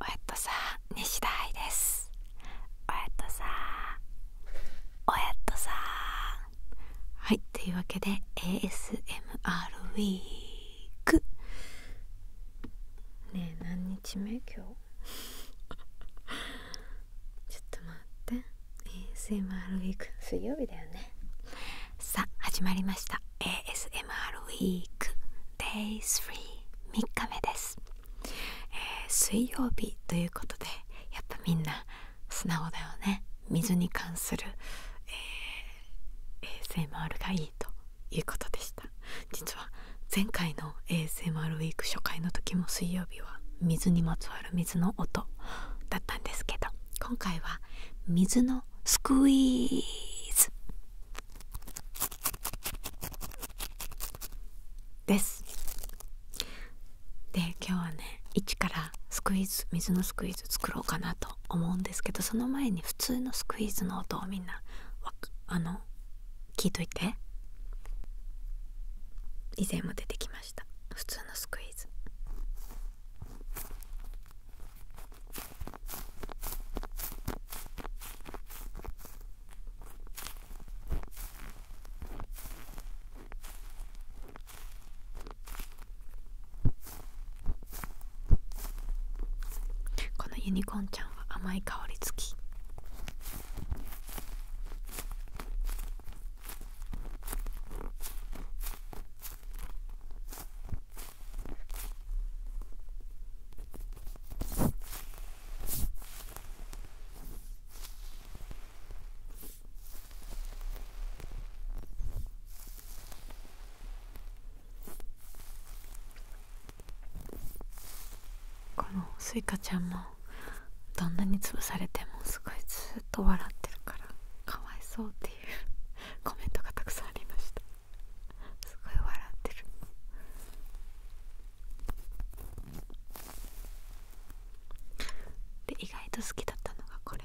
おやっとさ西田愛ですおやっとさおやっとさはいというわけで ASMR ウィークね何日目今日 ちょっと待って ASMR ウィーク水曜日だよねさあ始まりました ASMR ウィーク d a y 3日目です、え水曜日ということでやっぱみんな素直だよね水に関する、え ASMR がいいということでした実は前回の ASMR ウィーク初回の時も水曜日は水にまつわる水の音だったんですけど今回は水のスクイーズですで今日はね一からスクイーズ水のスクイーズ作ろうかなと思うんですけどその前に普通のスクイーズの音をみんなあの聞いといて以前も出てきました普通のスクイーズこのユニコーンちゃんは甘い香り付きこのスイカちゃんもどんなに潰されてもすごいずっと。と笑ってるからかわいそうっていう コメントがたくさんありましたすごい笑ってるで意外と好きだったのがこれ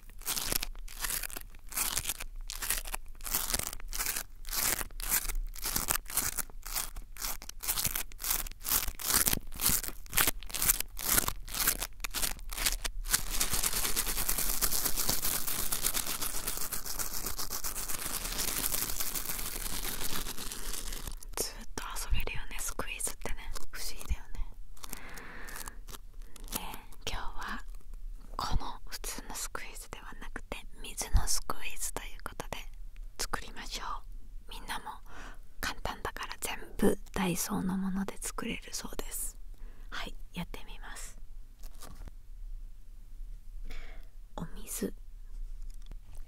ずっと遊べるよねスクイズってね不思議だよねで今日はこの普通のスクイーズではなくて水のスクイーズということで作りましょうみんなも簡単だから全部ダイソーのもので作れるそうですはいやってみますお水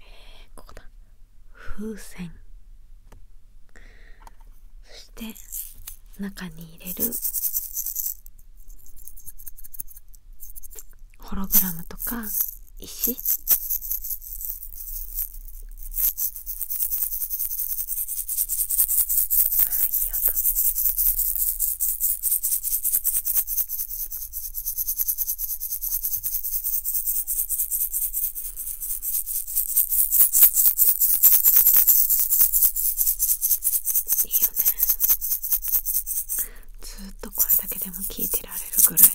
えここだ風船そして中に入れるホログラムとか石いいよねずっとこれだけでも聞いてられるぐらい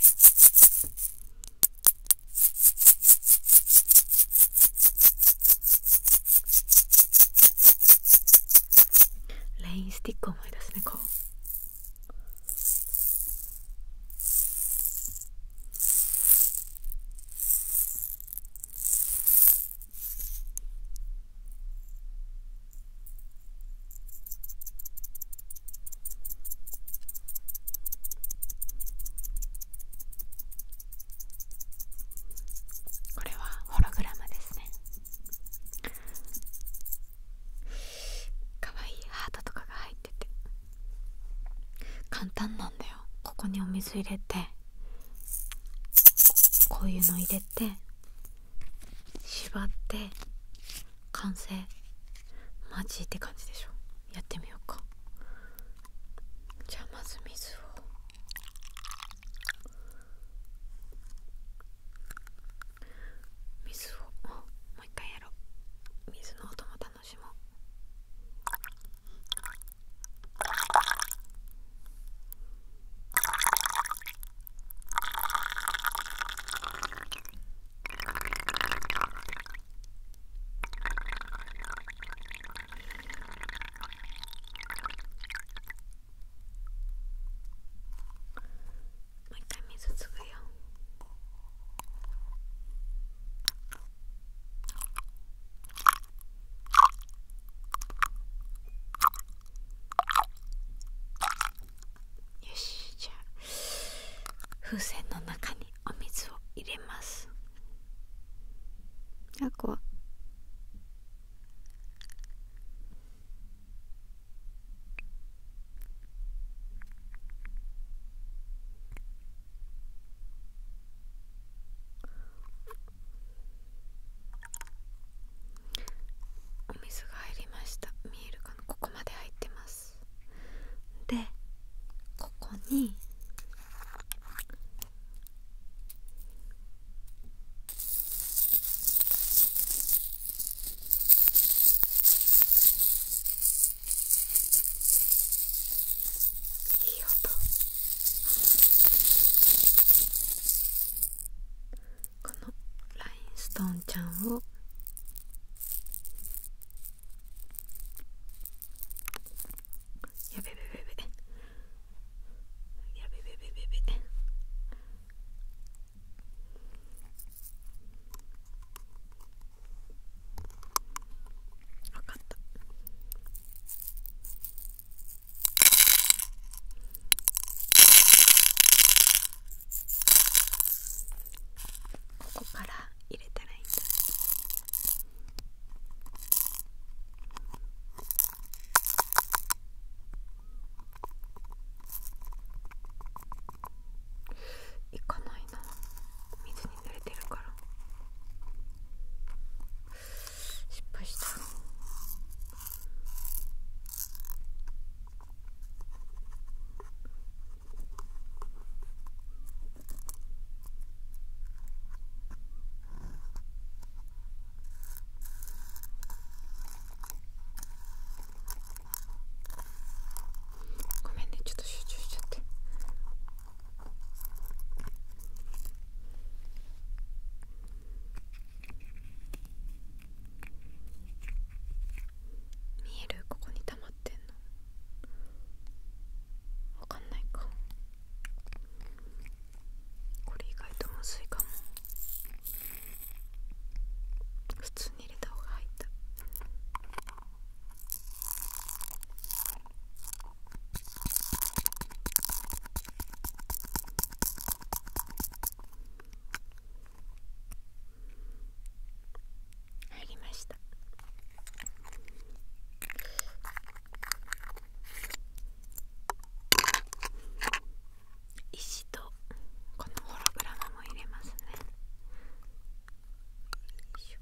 レインスティック思い出すねこうこれはホログラムですねかわいハートとかが入ってて簡単なんだよここにお水入れてこういうの入れて縛って完成マジって感じでしょやってみようかじゃあまず水を水をもう一回やろう水の音も楽のしももう一回水つぐよ。よしじゃあ風船の中にお水を入れますあこわお水が入りました見えるかなここまで入ってますでここにいい音。このラインストーンちゃんをやべべべべやべべべべべわかったここから入れたらいいんだいかないな水に濡れてるから。失敗したごめんねちょっと集中しちゃって。見えるここに溜まってんのわかんないかこれ意外とむずいかも普通に入れた方が入った入りました石とこのホログラムも入れますねよいしょ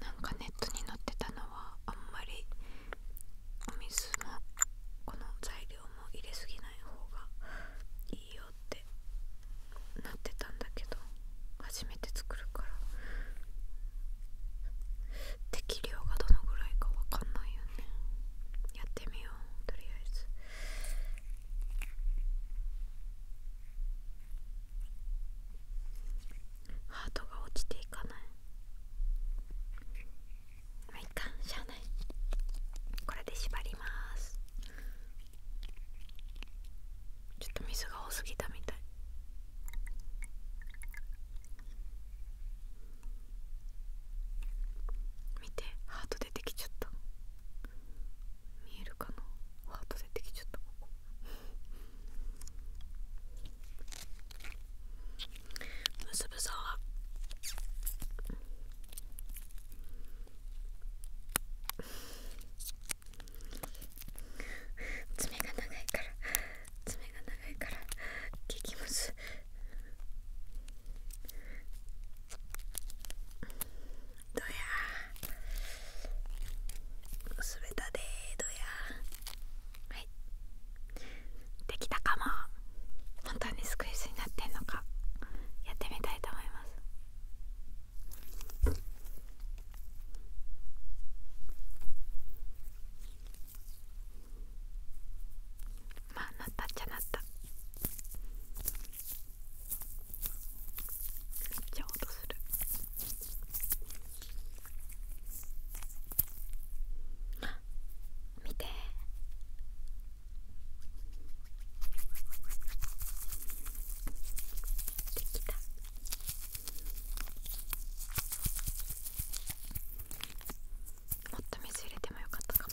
なんかネットに載ってたのはあんまりお水もこの材料も入れすぎない方がいいよってなってたんだけど初めて作るから適量がどのぐらいかわかんないよねやってみようとりあえずハートが落ちていかないまあいっかしゃあないこれで縛りますちょっと水が多すぎたみたい見てハート出てきちゃった見えるかなハート出てきちゃったここ結ぶぞ爪が長いから爪が長いから聞きますどや滑ったでどやはいできたかも本当にスクイズになってんのかやってみたいと思いますまあなったっちゃなっためっちゃ音する見てできたもっと水入れてもよかったかも。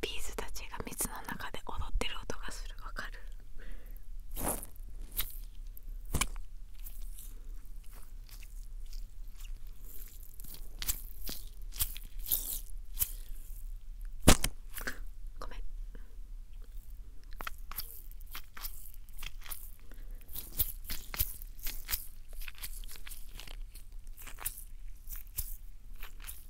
ビーズたちが蜜の中で踊ってる音がするわかるごめん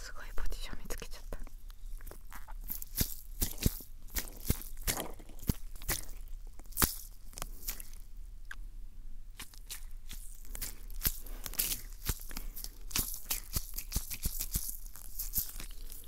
すごいポジション見つけちゃった。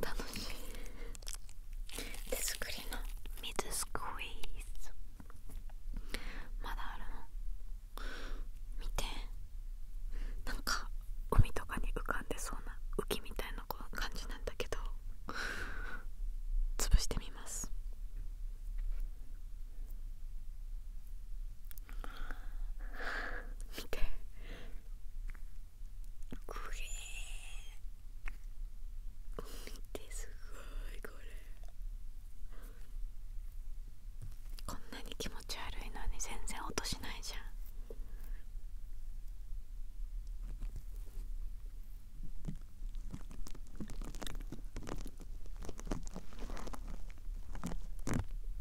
楽しい手作りの水スクイーズまだあるの見てなんか海とかに浮かんでそうな浮きみたいな感じなんだけど潰してみます見てこれ見てすごいこれこんなに気持ち悪いのに全然音しないじゃんうん。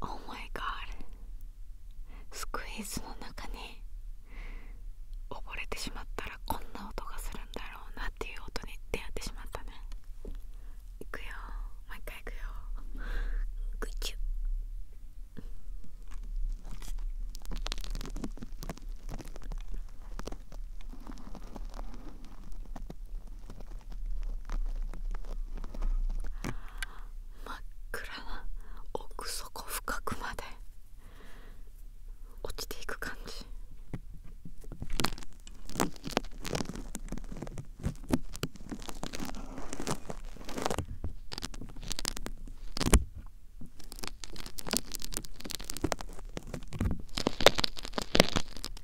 Oh my g スクイーズの中に溺れてしまったらこんな音がするんだろうなっていう音に出会ってしまったねいくよもう一回いくよグチュ真っ暗な奥底深くまで落ちていく感じあ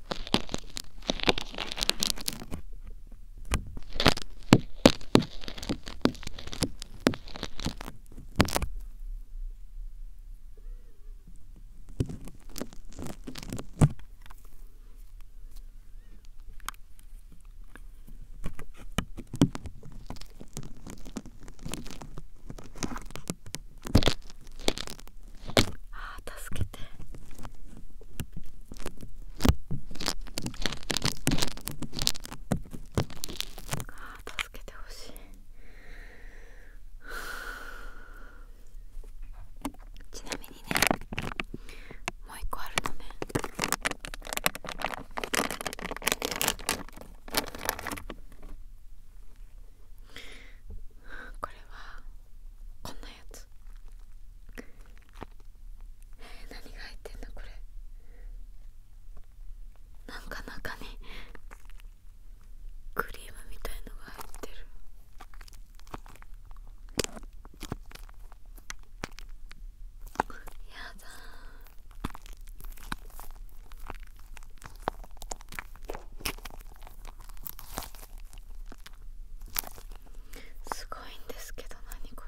あ助けててあー助けてほしいちなみにねもう一個あるのねこれはこんなやつえー、何が入ってんだこれなんか中にクリームみたいのが入ってるやだーすごいんですけど何こ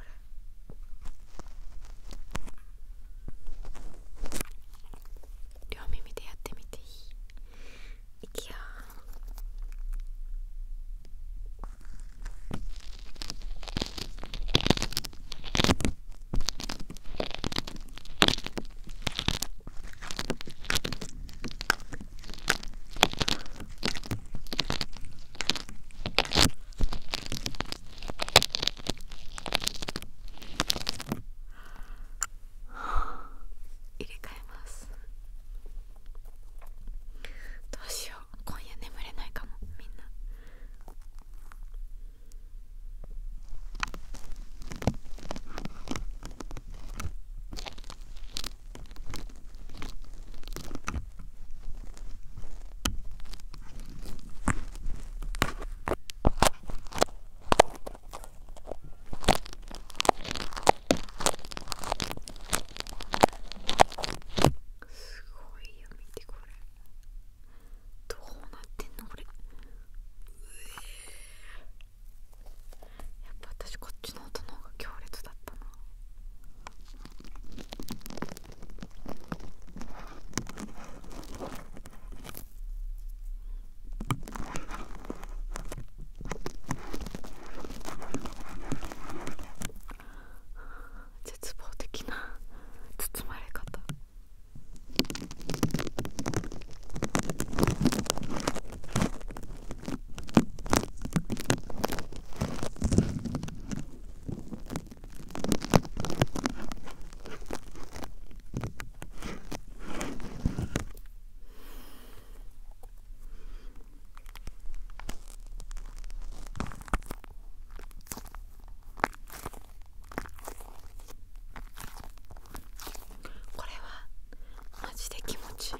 れ両耳でやってみていいいくよ入れ替えますどうしよう今夜眠れないかもみんなすごいよ見てこれどうなってんのこれやっぱ私こっちの音の方が強烈だったな絶望的な包まれ方これはマジで気持ちいい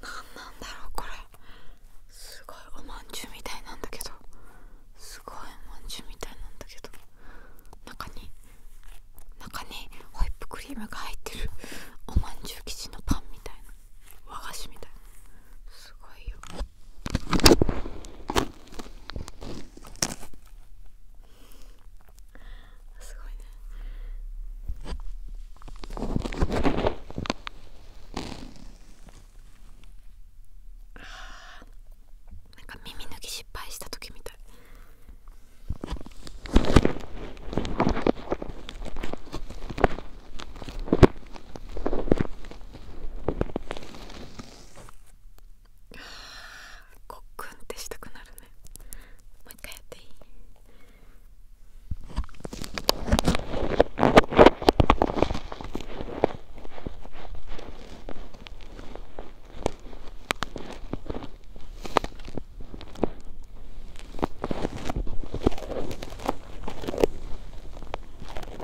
何なんだろうこれすごいおまんじゅうみたいなんだけどすごいおまんじゅうみたいなんだけど中に中にホイップクリームが入ってるおまんじゅう生地のパンみたいな和菓子みたいなすごいよ。すごいねなんか耳抜き失敗した時みたいあコッくんってしたくなるねもう一回やっていい分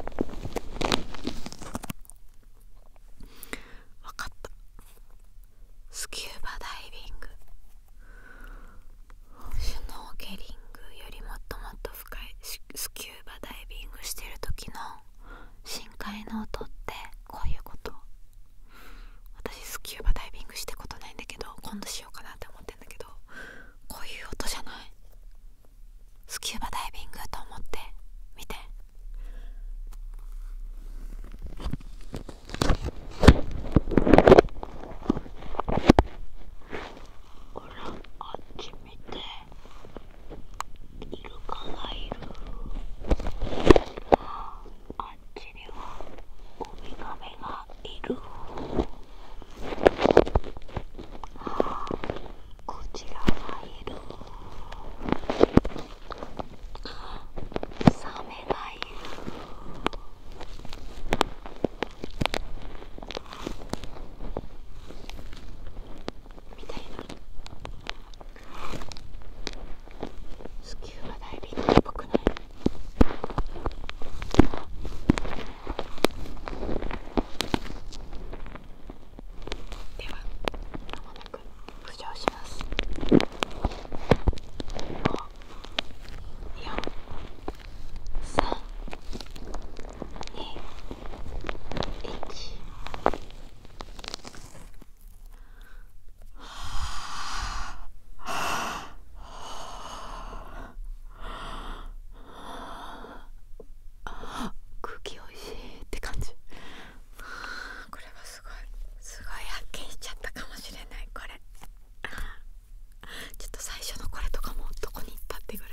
かったスキューバダイビングシュノーケリングよりもっともっと深いスキューバダイビングしてる時の深海の音ってこういうこと私スキューバダイビングしたことないんだけど今度しようかなって思ってんだけどこういう音じゃないスキューバダイビングと思って見て。ほらあっち見てイルカがいるあっちにはウミガメがいるあこちらがいるサメがいるみたいなスキューバダイビングっぽくないではまもなく浮上します54321はあはあはあああ、空気おいしいって感じこれはすごいすごい発見しちゃったかもしれないこれちょっと最初のこれとかもどこに行ったってぐらい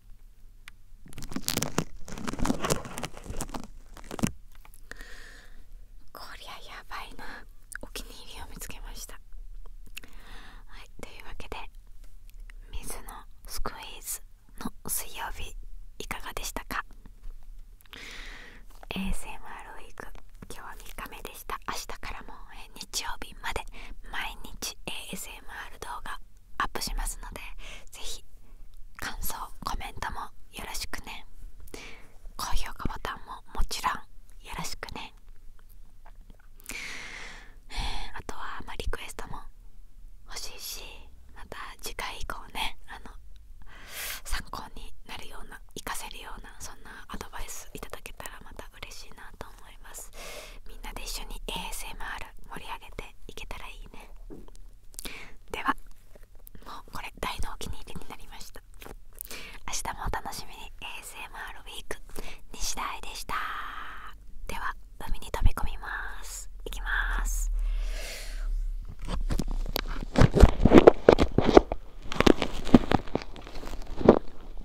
こりゃやばいなお気に入りを見つけましたはいというわけで水のスクイーズの水曜日いかがでしたか ASMR ウィーク今日は3日目でした明日からも日曜日まで毎日 ASMR 動画アップしますのでぜひ感想コメントもよろしくね高評価ボタンももちろんよろしくねあとは、まリクエストも欲しいしまた次回以降ねあの参考になるような活かせるようなそんなアドバイスいただけたらまた嬉しいなと思思いますみんなで一緒に ASMR 盛り上げていけたらいいねではもうこれ大のお気に入りになりました明日もお楽しみに ASMR ウィーク西田愛でしたでは海に飛び込みますいきますぽいぽいぽいぽい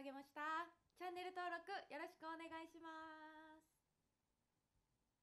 はいましたチャンネル登録よろしくお願いします